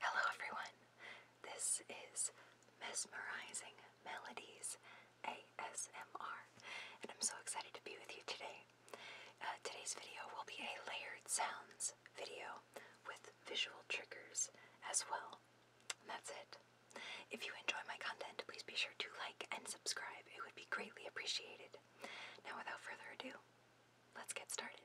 Hello, everyone. This is Mesmerizing Melodies ASMR, and I'm so excited to be with you today. Uh, today's video will be a layered sounds video with visual triggers as well that's it. If you enjoy my content, please be sure to like and subscribe. It would be greatly appreciated. Now, without further ado, let's get started.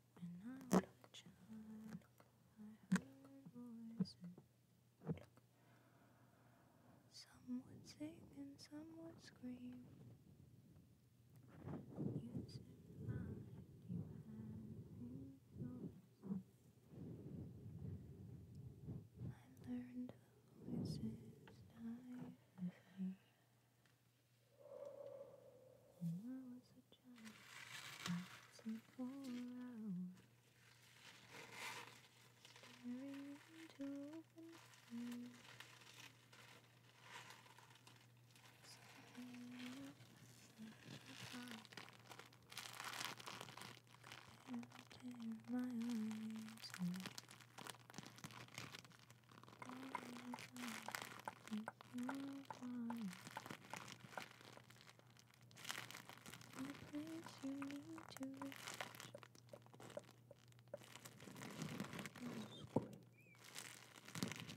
and I look at you, I heard a Some would sing and some would scream. You said mine, you had yours. I learned the voices die with when I was a child, dancing for hours, staring into open eyes. Staring up such a tear my eyes away. The place you need to reach. Mm -hmm. But always keep along.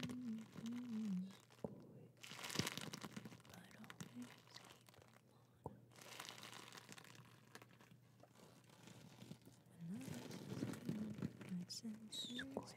When the lights is down, I sense you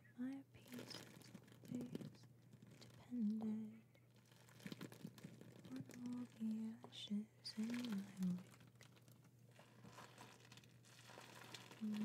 my pieces always depended on all the ashes in my wake. Mm -hmm.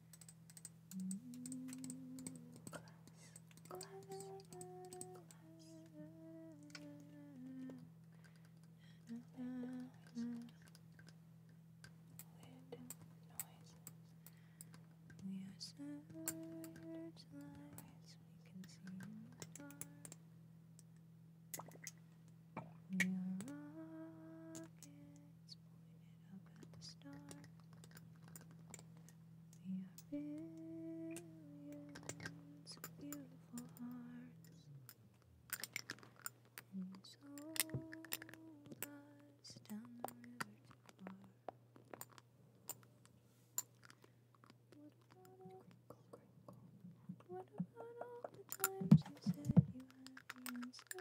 Glass, glass, We are searchlights. We can see in the dark. We are rockets pointed up at the star. We are billions of beautiful hearts, and you sold down the river too far. What about, all the times you said you had the answer?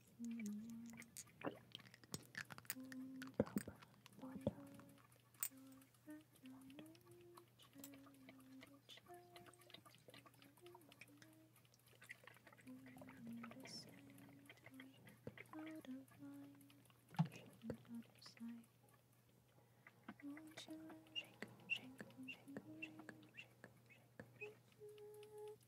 Shake, shake, shake, shake, shake, shake,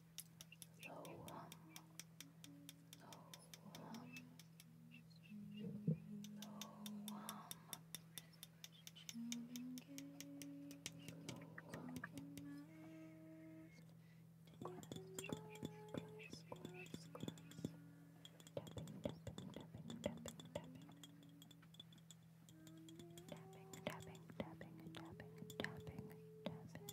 So, um, so, um, so, um, Tapping, tapping, tapping, tapping, tapping, tapping.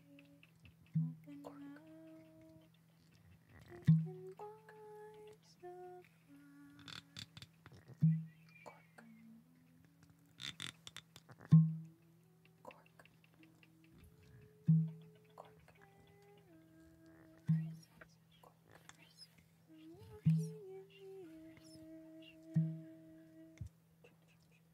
Cork.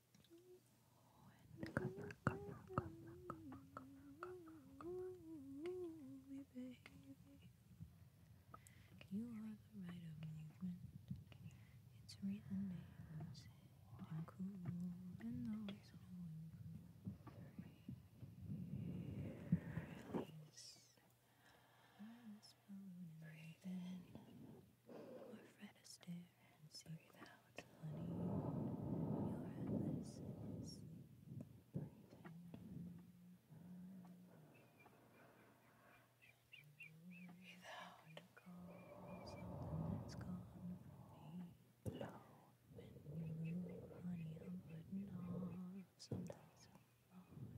You are the right of movement. It's reason names and cool and always knowing. Release. Release balloon and raven. Or Fred Astaire and see without letting your endlessness breathe in. Without something that's gone from me below. When you honey, I'm putting on something so loud and free.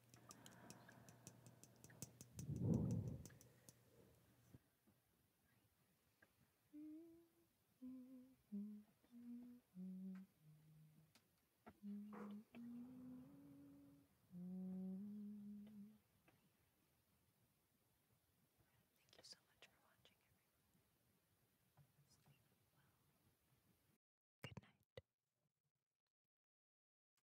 Thank you so much for watching, everyone. Sleep well. Good night.